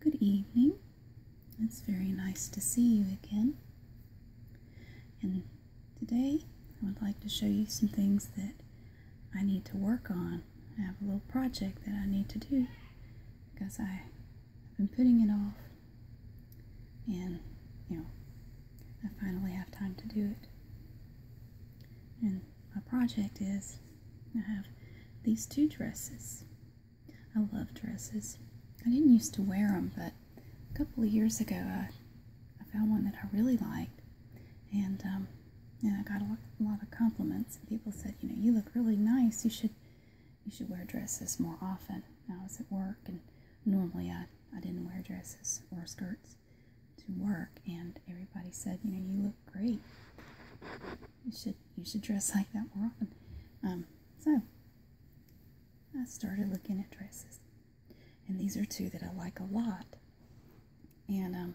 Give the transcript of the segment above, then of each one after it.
Good evening. It's very nice to see you again. And today I would like to show you some things that I need to work on. I have a little project that I need to do because I've been putting it off and you know I finally have time to do it. And my project is I have these two dresses. I love dresses. I didn't used to wear them, but a couple of years ago I, I found one that I really liked, and um, and I got a lot, a lot of compliments. People said, you know, you look really nice. You should you should wear dresses more often. I was at work, and normally I, I didn't wear dresses or skirts to work, and everybody said, you know, you look great. You should you should dress like that more often. Um, so I started looking at dresses, and these are two that I like a lot. And um,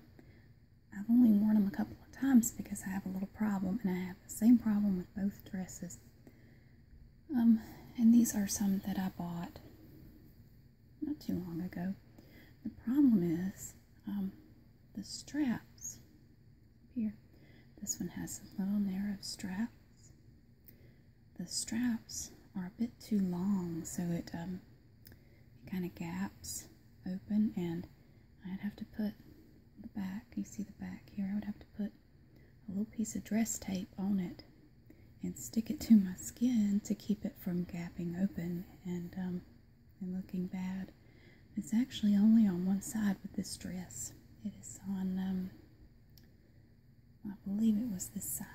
I've only worn them a couple of times because I have a little problem, and I have the same problem with both dresses. Um, and these are some that I bought not too long ago. The problem is, the straps here. This one has some little narrow straps. The straps are a bit too long, so it, um, it kind of gaps open, and I'd have to put the back, you see the back here, I would have to put a little piece of dress tape on it and stick it to my skin to keep it from gapping open and um, and looking bad. It's actually only on one side with this dress. It is on, um, I believe it was this side.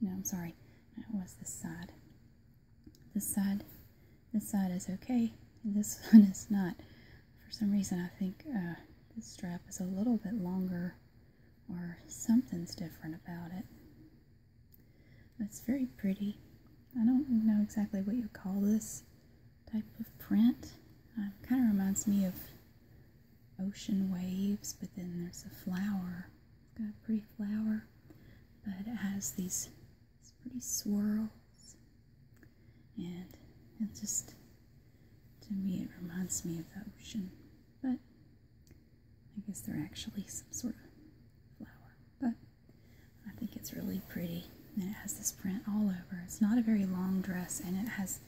No, I'm sorry, it was this side. This side, this side is okay, this one is not. For some reason, I think uh, this strap is a little bit longer, or something's different about it. That's very pretty. I don't know exactly what you call this type of print. Uh, um, kind of reminds me of ocean waves, but then there's a flower. got a pretty flower, but it has these pretty swirls. And it just, to me, it reminds me of the ocean. But I guess they're actually some sort of flower. But I think it's really pretty. And it has this print all over. It's not a very long dress, and it has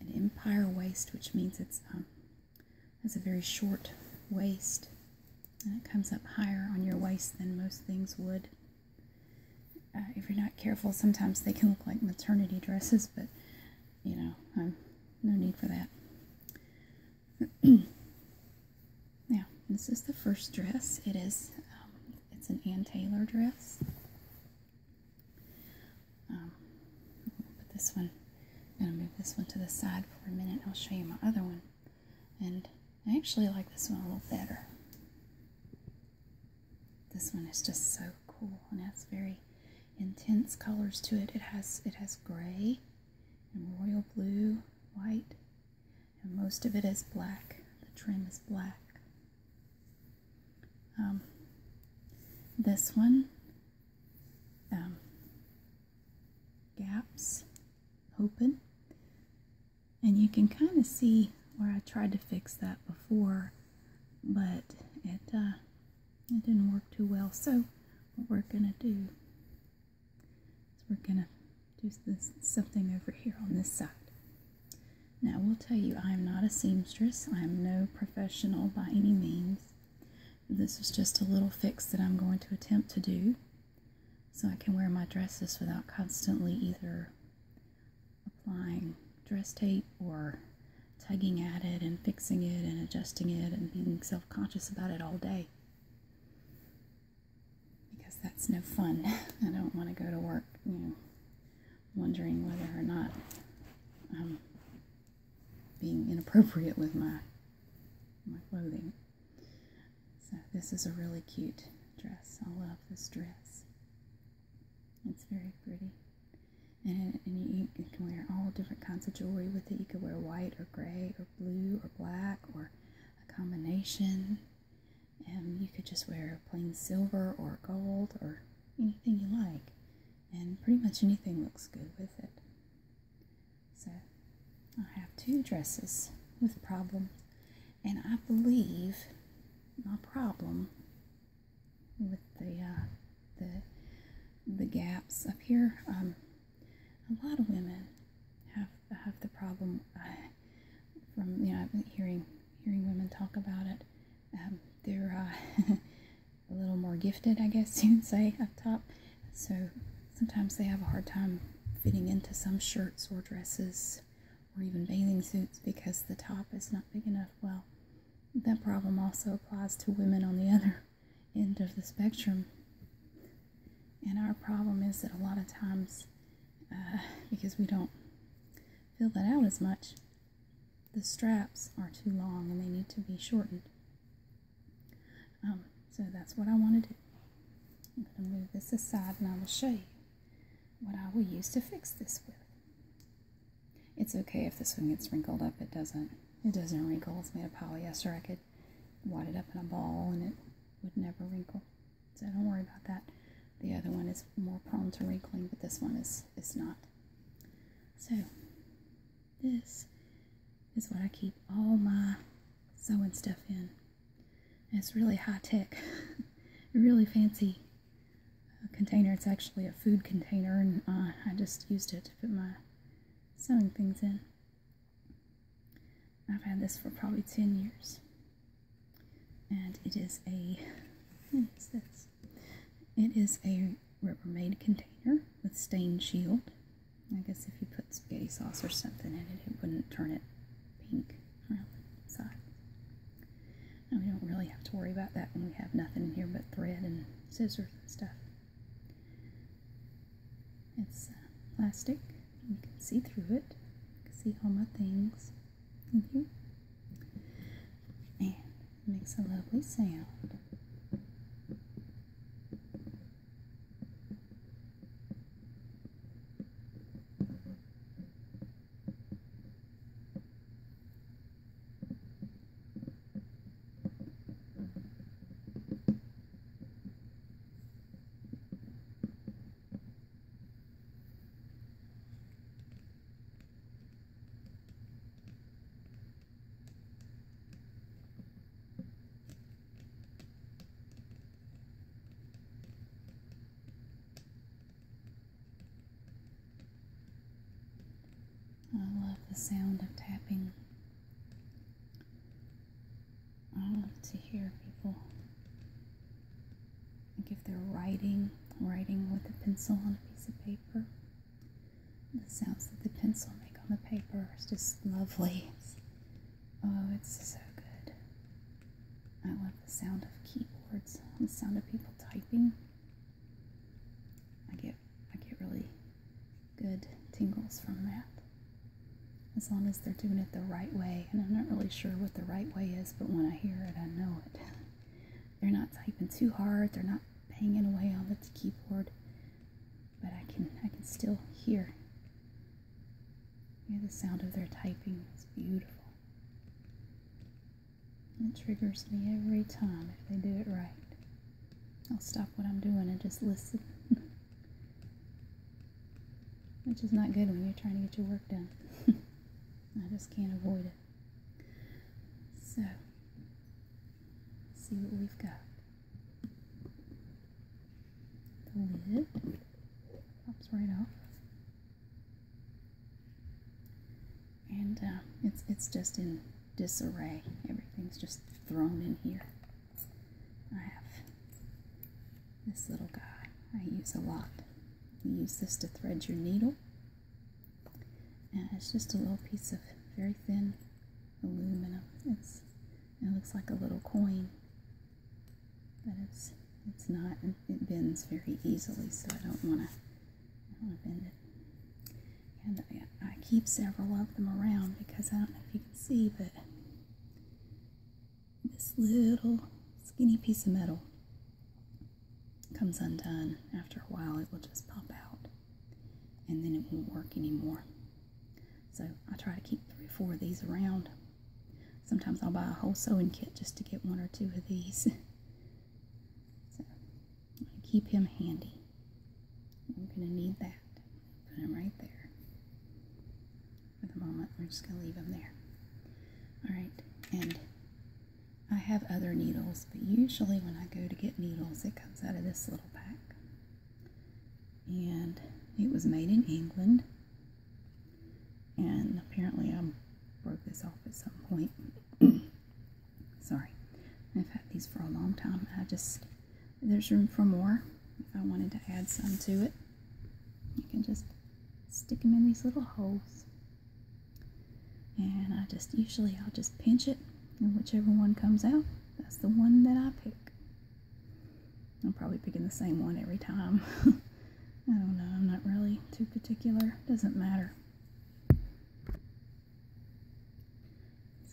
an empire waist, which means it's um, has a very short waist, and it comes up higher on your waist than most things would. Uh, if you're not careful, sometimes they can look like maternity dresses, but you know, um, no need for that. Now, this is the first dress. It is, um, it's an Ann Taylor dress. Um, this one, I'm gonna move this one to the side for a minute. I'll show you my other one. And I actually like this one a little better. This one is just so cool and has very intense colors to it. It has it has gray and royal blue, white, and most of it is black. The trim is black. Um, this one, um, gaps open, and you can kind of see where I tried to fix that before, but it uh, it didn't work too well. So what we're gonna do we're gonna do something over here on this side. Now, I will tell you, I am not a seamstress. I am no professional by any means. This is just a little fix that I'm going to attempt to do so I can wear my dresses without constantly either applying dress tape or tugging at it and fixing it and adjusting it and being self conscious about it all day because that's no fun. I don't want to go to work, you know, wondering whether or not I'm being inappropriate with my my clothing. So this is a really cute dress. I love this dress. It's very pretty. And, and you, you can wear all different kinds of jewelry with it. You could wear white or gray or blue or black or a combination. Um, you could just wear plain silver or gold or anything you like, and pretty much anything looks good with it. So I have two dresses with problem, and I believe my problem with the uh, the the gaps up here. Um, a lot of women have have the problem. Uh, from you know hearing hearing women talk about it. Um, they're uh, a little more gifted, I guess you would say, up top. So sometimes they have a hard time fitting into some shirts or dresses or even bathing suits because the top is not big enough. Well, that problem also applies to women on the other end of the spectrum. And our problem is that a lot of times, uh, because we don't fill that out as much, the straps are too long and they need to be shortened. Um, so that's what I want to do. I'm going to move this aside and I will show you what I will use to fix this with. It's okay if this one gets wrinkled up. It doesn't. It doesn't wrinkle. It's made of polyester. I could wad it up in a ball and it would never wrinkle. So don't worry about that. The other one is more prone to wrinkling, but this one is, is not. So this is what I keep all my sewing stuff in. it's really high tech, really fancy uh, container. It's actually a food container, and uh, I just used it to put my sewing things in. I've had this for probably 10 years. And it is a, hmm, It is a Rubbermaid container with stain shield. I guess if you put spaghetti sauce or something in it, it wouldn't turn it pink around the side. And we don't really have to worry about that when we have nothing in here but thread and scissors and stuff. It's uh, plastic. You can see through it. You can see all my things in here. And it makes a lovely sound. I love the sound of tapping I love to hear people like if they're writing, writing with a pencil on a piece of paper. The sounds that the pencil make on the paper is just lovely. oh, it's so good. I love the sound of keyboards, the sound of people typing. I get I get really good tingles from that as long as they're doing it the right way. And I'm not really sure what the right way is, but when I hear it, I know it. They're not typing too hard, they're not banging away on the keyboard, but I can I can still hear hear the sound of their typing. It's beautiful. It triggers me every time if they do it right. I'll stop what I'm doing and just listen. Which is not good when you're trying to get your work done. I just can't avoid it. So, see what we've got. The lid pops right off. And uh, it's, it's just in disarray. Everything's just thrown in here. I have this little guy I use a lot. You use this to thread your needle. And it's just a little piece of very thin aluminum. It's, it looks like a little coin, but it's it's not. It bends very easily, so I don't want to. I don't want to bend it. And I keep several of them around because I don't know if you can see, but this little skinny piece of metal comes undone, after a while it will just pop out and then it won't work anymore. So I try to keep three or four of these around. Sometimes I'll buy a whole sewing kit just to get one or two of these. so keep him handy. We're going to need that. Put him right there for the moment. We're just going to leave them there. Alright, and I have other needles, but usually when I go to get needles, it comes out of this little pack. And it was made in England. And apparently I broke this off at some point. Sorry. I've had these for a long time. I just, there's room for more if I wanted to add some to it. You can just stick them in these little holes. And I just usually I'll just pinch it and whichever one comes out, that's the one that I pick. I'm probably picking the same one every time. I don't know, I'm not really too particular. Doesn't matter.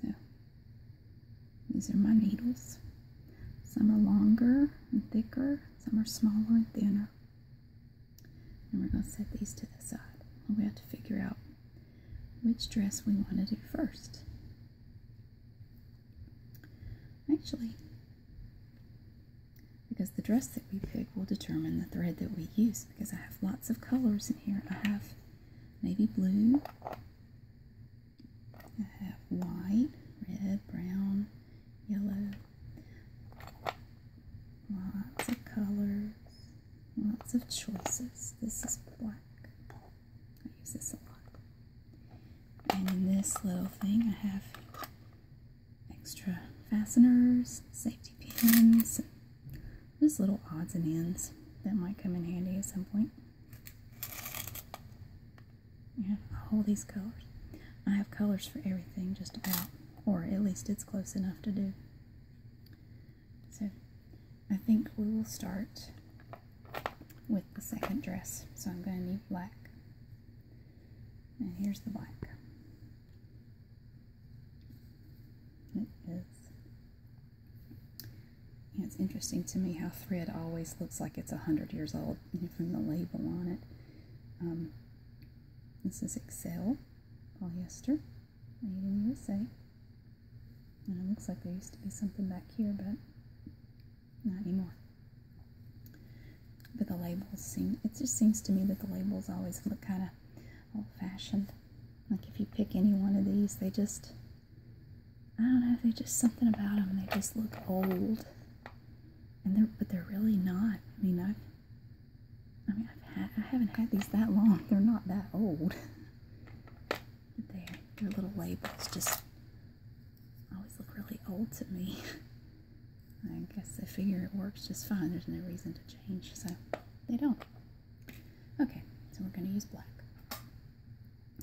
So these are my needles. Some are longer and thicker some are smaller and thinner. And we're going to set these to the side. And we have to figure out which dress we want to do first. Actually, because the dress that we pick will determine the thread that we use because I have lots of colors in here. I have navy blue, I have white, red, brown, yellow. Lots of colors, lots of choices. This is black. I use this a lot. And in this little thing, I have extra fasteners, safety pins, just little odds and ends that might come in handy at some point. Yeah, all these colors. I have colors for everything, just about, or at least it's close enough to do. So I think we will start with the second dress. So I'm going to need black. And here's the black. It is. It's interesting to me how thread always looks like it's a hundred years old spelled from the label on it. Um, this is Excel polyester, made in USA. And it looks like there used to be something back here, but not anymore. But the labels seem, it just seems to me that the labels always look kind of old fashioned. Like if you pick any one of these, they just, I don't know, they just something about them, they just look old and they're but they're really not. I mean, I've, I mean, I've had, I haven't had these that long. They're not that old. their little labels just always look really old to me. I guess they figure it works just fine. There's no reason to change, so they don't. Okay, so we're going to use black.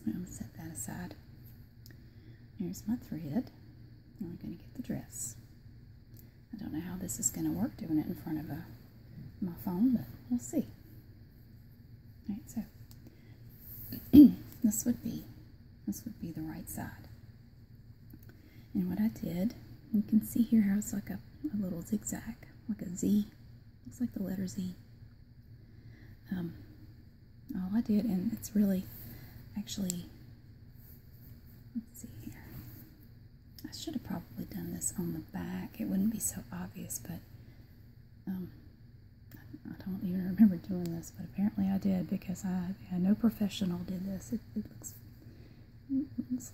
I'm going to set that aside. Here's my thread. Now I'm going to get the dress. I don't know how this is going to work doing it in front of a, uh, my phone, but we'll see. All right, so this would be this would be the right side. And what I did, you can see here how it's like a, little zigzag, like a Z. Looks like the letter Z. Um, all oh, I did, and it's really actually, let's see here. I should have probably done this on the back. It wouldn't be so obvious, but um, I don't even remember doing this, but apparently I did because I, no professional did this. It, looks,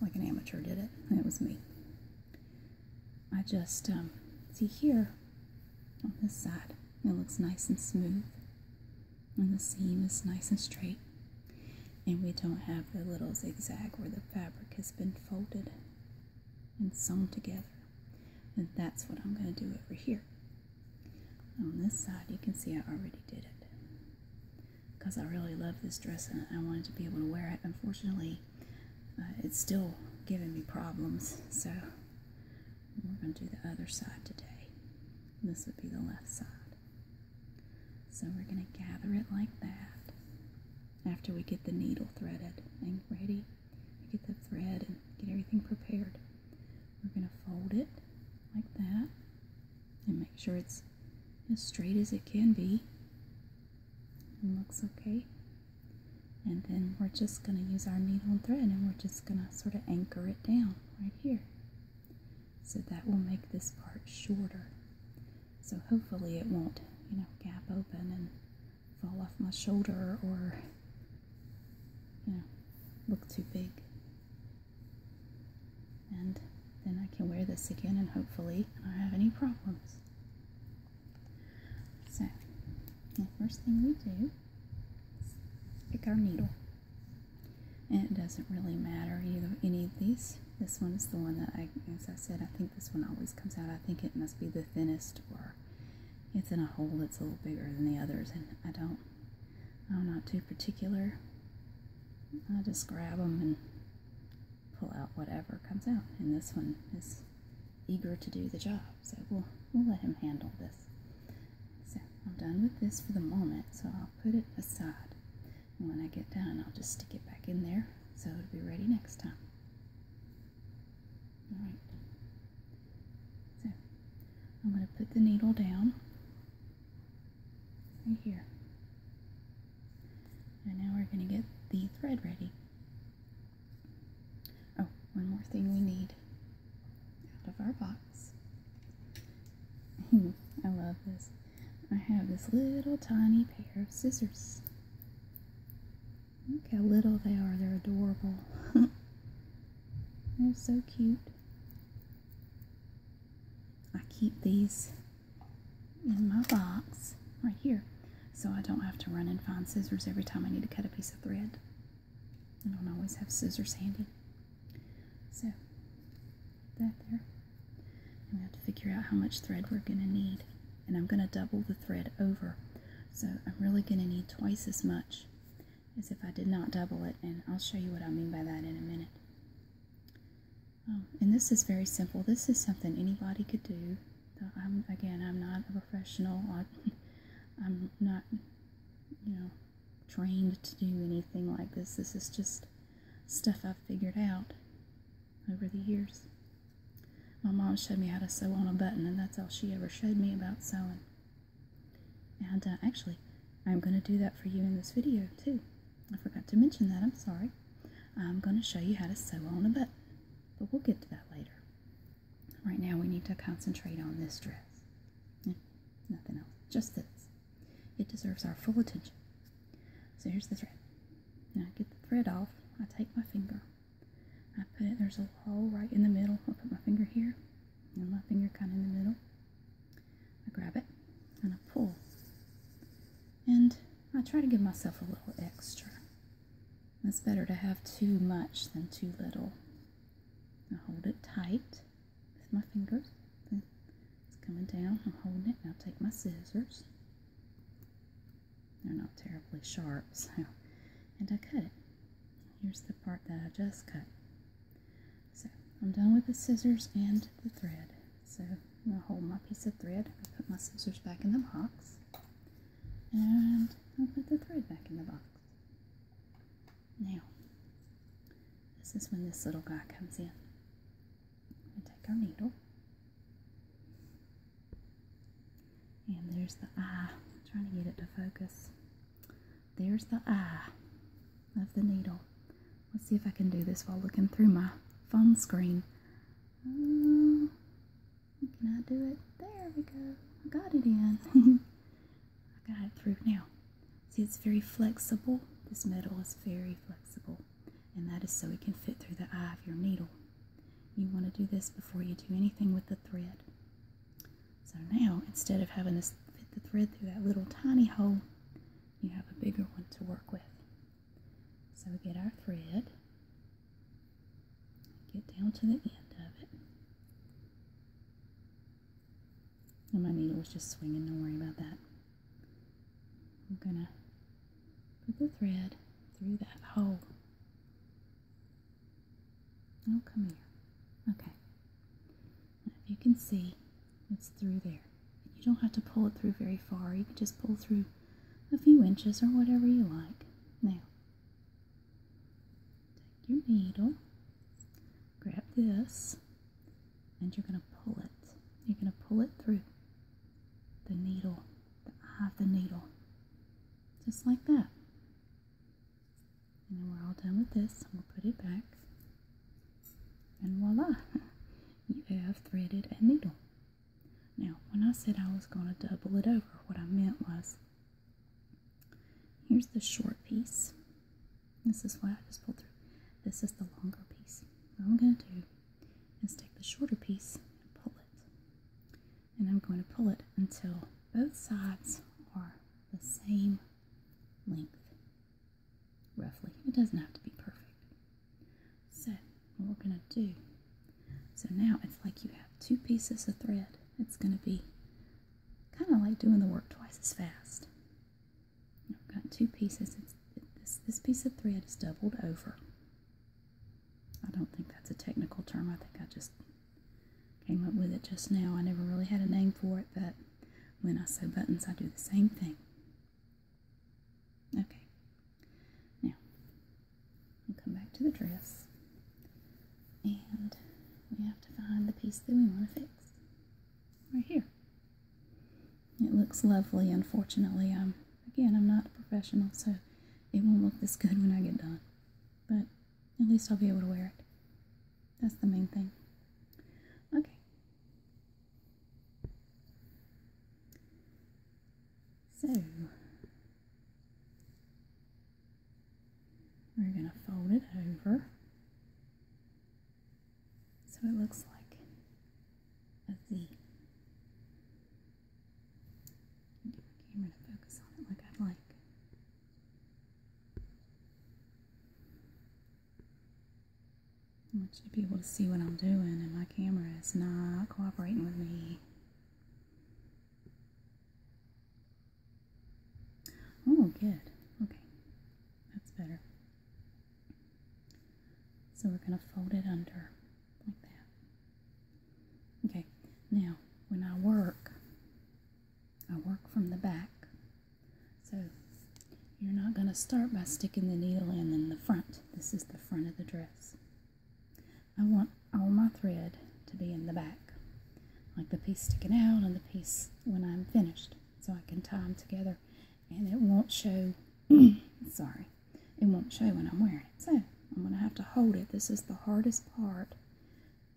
like an amateur did it. It was me. I just, um, see here on this side, it looks nice and smooth and the seam is nice and straight and we don't have the little zigzag where the fabric has been folded and sewn together and that's what I'm going to do over here on this side you can see I already did it because I really love this dress and I wanted to be able to wear it unfortunately uh, it's still giving me problems so we're going to do the other side today. This would be the left side. So we're going to gather it like that after we get the needle threaded and ready. We get the thread and get everything prepared. We're going to fold it like that and make sure it's as straight as it can be and looks okay. And then we're just going to use our needle and thread and we're just going to sort of anchor it down right here. So that will make this part shorter. So hopefully it won't, you know, gap open and fall off my shoulder or, you know, look too big. And then I can wear this again and hopefully I don't have any problems. So, the first thing we do Pick our needle. And it doesn't really matter any of these. This one is the one that I, as I said, I think this one always comes out. I think it must be the thinnest, or it's in a hole that's a little bigger than the others. And I don't, I'm not too particular. I just grab them and pull out whatever comes out. And this one is eager to do the job. So we'll, we'll let him handle this. So I'm done with this for the moment, so I'll put it aside. And when I get done, I'll just stick it back in there so it'll be ready next time. Alright. So I'm going to put the needle down right here. And now we're going to get the thread ready. Oh, one more thing we need out of our box. Hmm, I love this. I have this little tiny pair of scissors. Look how little they are. They're adorable. They're so cute. I keep these in my box right here so I don't have to run and find scissors every time I need to cut a piece of thread. I don't always have scissors handy. So, that there. And we have to figure out how much thread we're going to need. And I'm going to double the thread over. So I'm really going to need twice as much as if I did not double it. And I'll show you what I mean by that in a minute. Um, and this is very simple. This is something anybody could do. again, I'm not a professional. I'm not, you know, trained to do anything like this. This is just stuff I've figured out over the years. My mom showed me how to sew on a button, and that's all she ever showed me about sewing. And uh, actually, I'm going to do that for you in this video too. I forgot to mention that, I'm sorry. I'm going to show you how to sew on a button, but we'll get to that later. Right now, we need to concentrate on this dress. nothing else, just this. It deserves our full attention. So here's the thread. Now, I get the thread off. I take my finger. I put it, there's a hole right in the middle. i put my finger here, and my finger kind of in the middle. I grab it, and I pull. And I try to give myself a little extra. It's better to have too much than too little. I hold it tight with my fingers. It's coming down. I'm holding it. I'll take my scissors. They're not terribly sharp, so. And I cut it. Here's the part that I just cut. So I'm done with the scissors and the thread. So I'm going to hold my piece of thread. I put my scissors back in the box. And I'll put the thread back in the box. Now, this is when this little guy comes in. We take our needle. And there's the eye. trying to get it to focus. There's the eye of the needle. Let's see if I can do this while looking through my phone screen. Uh, can I do it? There we go. I got it in. I got it through now. See, it's very flexible. This metal is very flexible, and that is so it can fit through the eye of your needle. You want to do this before you do anything with the thread. So now, instead of having to fit the thread through that little tiny hole, you have a bigger one to work with. So we get our thread, get down to the end of it, and my needle was just swinging, don't worry about that. I'm gonna put the thread through that hole. Oh, come here. Okay. you can see, it's through there. You don't have to pull it through very far. You can just pull through a few inches or whatever you like. Now, take your needle, grab this, and you're going to pull it. You're going to pull it through the needle, the eye of the needle, just like that. And then we're all done with this. We'll put it back. And voila, you have threaded a needle. Now, when I said I was going to double it over, what I meant was Here's the short piece. This is why I just pulled through. This is the longer piece. What I'm going to do is take the shorter piece and pull it. And I'm going to pull it until both sides are the same length, roughly. It doesn't have to be perfect. So, what we're going to do, so now it's like you have two pieces of thread. It's going to be kind of like doing the work twice as fast. I've got two pieces. this, piece of thread is doubled over. I don't think that's a technical term. I think I just came up with it just now. I never really had a name for it, but when I sew buttons, I do the same thing. Okay. Now, I'll come back to the dress and we have to find the piece that we want to fix right here. It looks lovely. Unfortunately, um, again, I'm not a professional, so it won't look this good when I get done. But at least I'll be able to wear it. That's the main thing. Okay. So, we're going to fold it over so it looks like a V. camera to focus on it like I'd like. I want you to be able to see what I'm doing, and my camera is not cooperating with me. Oh, good. Okay, that's better. So we're going to fold it under like that. Okay, now when I work, I work from the back. So you're not going to start by sticking the needle in in the front. This is the front of the dress. I want all my thread to be in the back like the piece sticking out and the piece when I'm finished so I can tie them together and it won't show sorry it won't show when I'm wearing it so I'm gonna have to hold it this is the hardest part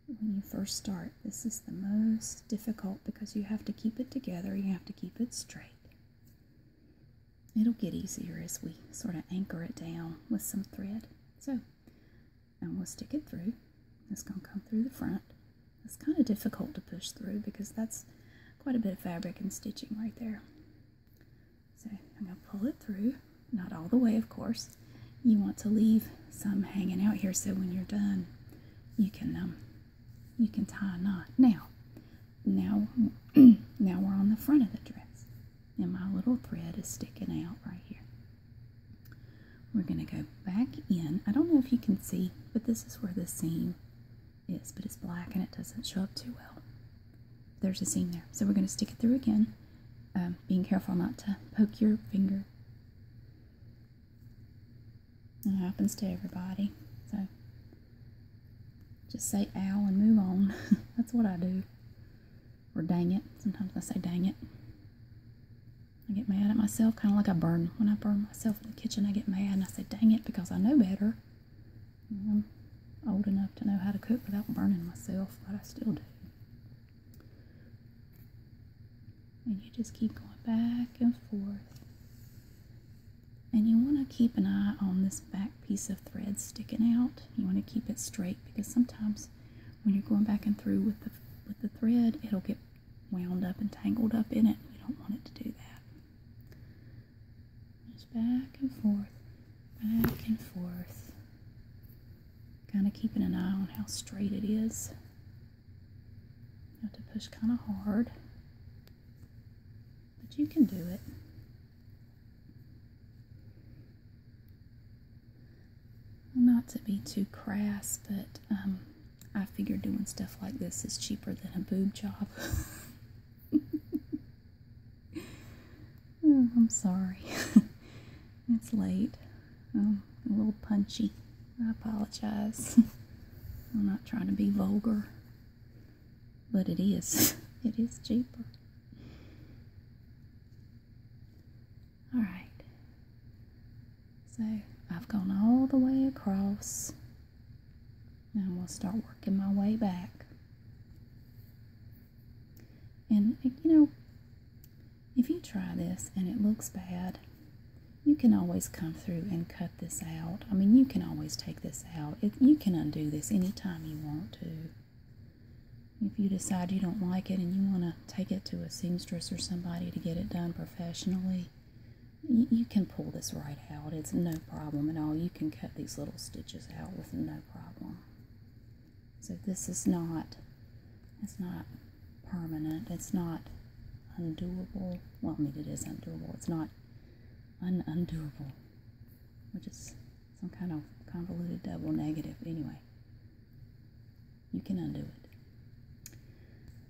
when you first start this is the most difficult because you have to keep it together you have to keep it straight it'll get easier as we sort of anchor it down with some thread so and we'll stick it through. It's going to come through the front. It's kind of difficult to push through because that's quite a bit of fabric and stitching right there. So I'm going to pull it through, not all the way of course. You want to leave some hanging out here so when you're done you can um, you can tie a knot. Now, now, now we're on the front of the dress and my little thread is sticking out right here. We're going to go back in. I don't know if you can see, but this is where the seam is, but it's black and it doesn't show up too well. There's a seam there. So we're going to stick it through again, um, being careful not to poke your finger. It happens to everybody. So just say ow and move on. That's what I do. Or dang it. Sometimes I say dang it. I get mad at myself, kind of like I burn. When I burn myself in the kitchen, I get mad and I say, dang it, because I know better. I'm old enough to know how to cook without burning myself, but I still do. And you just keep going back and forth. And you want to keep an eye on this back piece of thread sticking out. You want to keep it straight because sometimes when you're going back and through with the with the thread, it'll get wound up and tangled up in it. You don't want it to do that. Just back and forth, back and forth. Kind of keeping an eye on how straight it is. You have to push kind of hard, but you can do it. Well, not to be too crass, but um, I figure doing stuff like this is cheaper than a boob job. Oh, I'm sorry. it's late. Um, a little punchy. I apologize. I'm not trying to be vulgar, but it is. it is cheaper. All right. So I've gone all the way across. Now I'm going to start working my way back. And, you know, if you try this and it looks bad, you can always come through and cut this out. I mean, you can always take this out. you can undo this anytime you want to. If you decide you don't like it and you want to take it to a seamstress or somebody to get it done professionally, you, can pull this right out. It's no problem at all. You can cut these little stitches out with no problem. So this is not, it's not permanent. It's not undoable. Well, I mean, it is undoable. It's not un undoable, which is some kind of convoluted double negative. Anyway, you can undo it.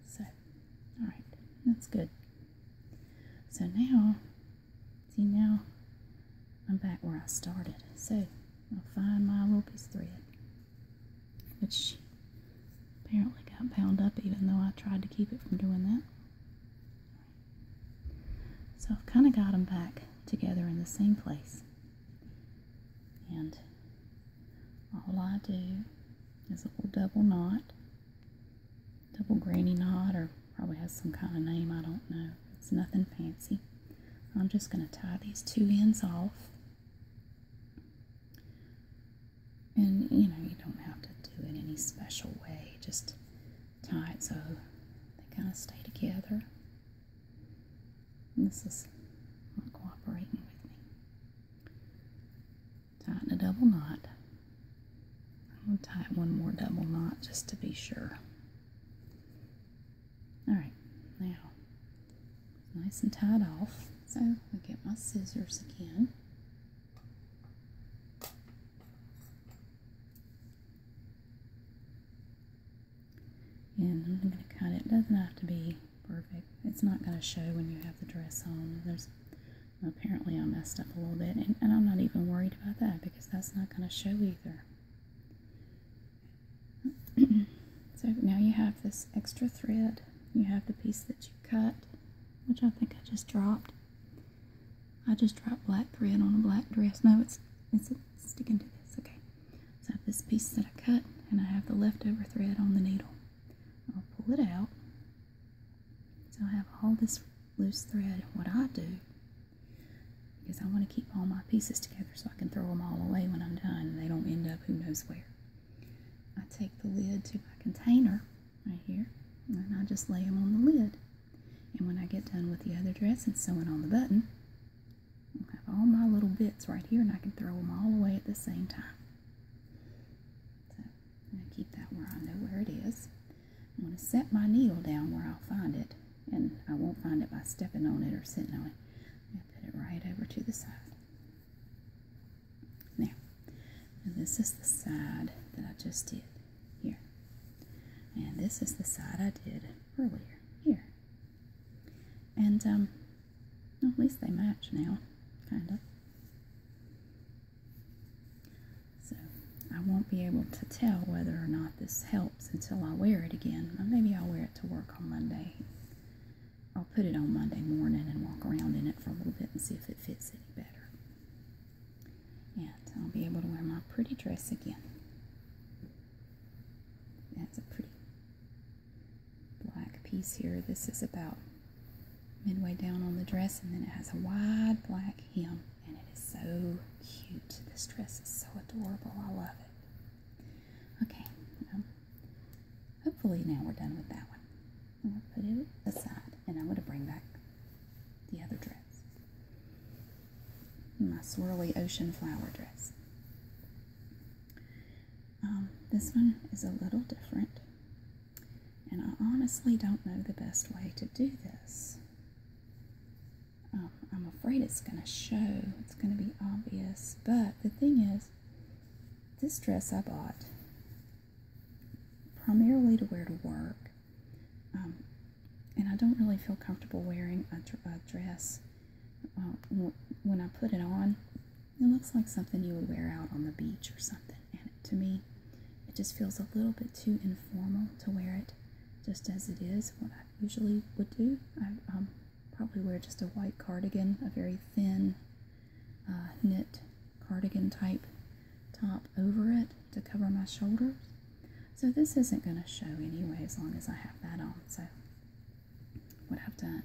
So, alright, that's good. So now, see now, I'm back where I started. So, I'll find my little piece thread, which apparently got bound up even though I tried to keep it from doing that. So I've kind of got them back together in the same place. And all I do is a little double knot, double granny knot, or probably has some kind of name, I don't know. It's nothing fancy. I'm just going to tie these two ends off. And, you know, you don't have to do it any special way. Just tie it so they kind of stay together this is not cooperating with me. Tighten a double knot. I'm going to tighten one more double knot just to be sure. Alright, now, nice and tied off. So, I get my scissors again. And I'm going to cut it. doesn't have to be perfect. It's not going to show when you have the dress on. There's Apparently I messed up a little bit. And, and I'm not even worried about that because that's not going to show either. so now you have this extra thread. You have the piece that you cut, which I think I just dropped. I just dropped black thread on a black dress. No, it's, it's sticking to this. Okay. So I have this piece that I cut and I have the leftover thread on the needle. I'll pull it out. So I have all this loose thread. What I do is I want to keep all my pieces together so I can throw them all away when I'm done. and They don't end up who knows where. I take the lid to my container right here and I just lay them on the lid. And when I get done with the other dress and sewing on the button, I have all my little bits right here and I can throw them all away at the same time. So I'm going to keep that where I know where it is. I'm going to set my needle down where I'll find it and I won't find it by stepping on it or sitting on it. I'm going to put it right over to the side. Now, this is the side that I just did here. And this is the side I did earlier here. And um, at least they match now, kind of. So I won't be able to tell whether or not this helps until I wear it again. maybe I'll wear it to work on Monday. I'll put it on Monday morning and walk around in it for a little bit and see if it fits any better. And I'll be able to wear my pretty dress again. That's a pretty black piece here. This is about midway down on the dress, and then it has a wide black hem, and it is so cute. This dress is so adorable. I love it. Okay, hopefully now we're done with that one. I'm going to put it aside, and I'm going to bring back the other dress. My swirly ocean flower dress. Um, this one is a little different, and I honestly don't know the best way to do this. Um, I'm afraid it's going to show, it's going to be obvious, but the thing is, this dress I bought primarily to wear to work, um, and I don't really feel comfortable wearing a dress when I put it on, it looks like something you would wear out on the beach or something. And to me, it just feels a little bit too informal to wear it just as it is. What I usually would do, I um, probably wear just a white cardigan, a very thin uh, knit cardigan type top over it to cover my shoulders. So this isn't going to show anyway as long as I have that on. So what I've done.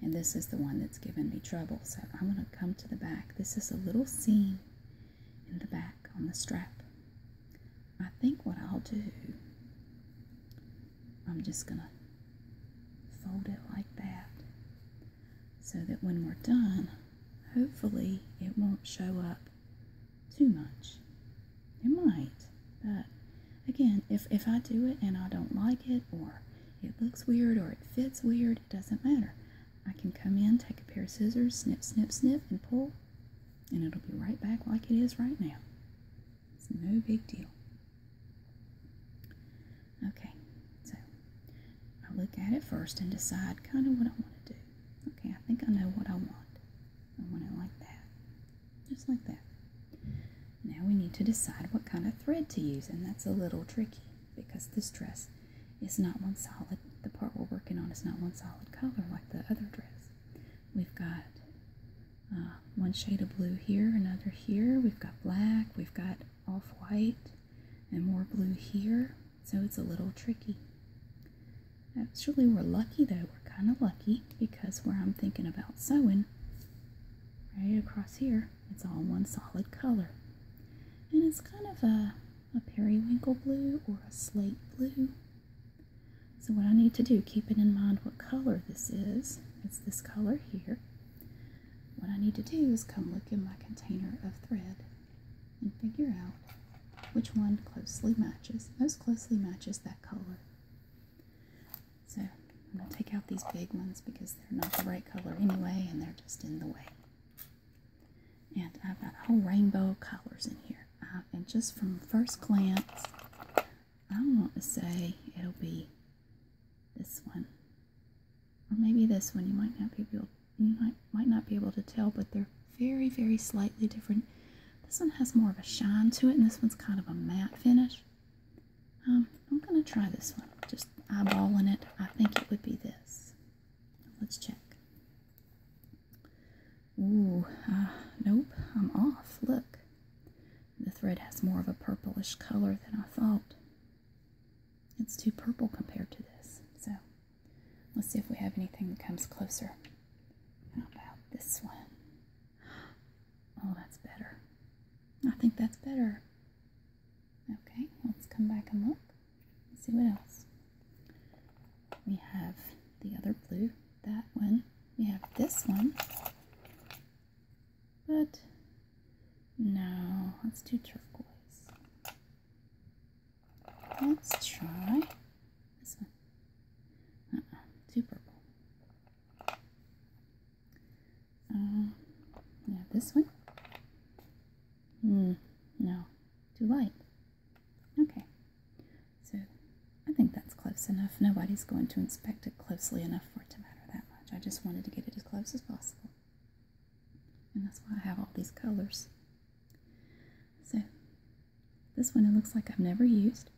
And this is the one that's given me trouble. So I'm going to come to the back. This is a little seam in the back on the strap. I think what I'll do, I'm just going to fold it like that so that when we're done, hopefully it won't show up too much. It might, but again, if, if I do it and I don't like it, or it looks weird, or it fits weird, it doesn't matter. I can come in, take a pair of scissors, snip, snip, snip, and pull, and it'll be right back like it is right now. It's no big deal. Okay, so I look at it first and decide kind of what I want to do. Okay, I think I know what I want. I want it like that just like that. Now we need to decide what kind of thread to use, and that's a little tricky because this dress is not one solid, the part we're working on is not one solid color like the other dress. We've got uh, one shade of blue here, another here, we've got black, we've got off-white, and more blue here, so it's a little tricky. Actually, we're lucky though, we're kind of lucky because where I'm thinking about sewing, right across here, it's all one solid color. And it's kind of a, a periwinkle blue or a slate blue. So what I need to do, keeping in mind what color this is, it's this color here. What I need to do is come look in my container of thread and figure out which one closely matches, most closely matches that color. So I'm going to take out these big ones because they're not the right color anyway and they're just in the way. And I've got a whole rainbow of colors in here. Uh, and just from first glance, I want to say it'll be this one. Or maybe this one. You might not be able you might, might not be able to tell, but they're very, very slightly different. This one has more of a shine to it, and this one's kind of a matte finish. Um, I'm going to try this one. Just eyeballing it. I think it would be this. Let's check. Ooh, uh, nope, I'm off. Look. The thread has more of a purplish color than I thought. It's too purple compared to this. So, let's see if we have anything that comes closer. How about this one? Oh, that's better. I think that's better. Okay, let's come back and look. Let's see what else. We have the other blue, that one. We have this one. But no, let's do turquoise. Let's try this one. Uh -uh, purple. Uh, yeah, this one. Hmm, no, too light. Okay, so I think that's close enough. Nobody's going to inspect it closely enough for it to matter that much. I just wanted to get it as close as possible. And that's why I have all these colors. So, this one it looks like I've never used.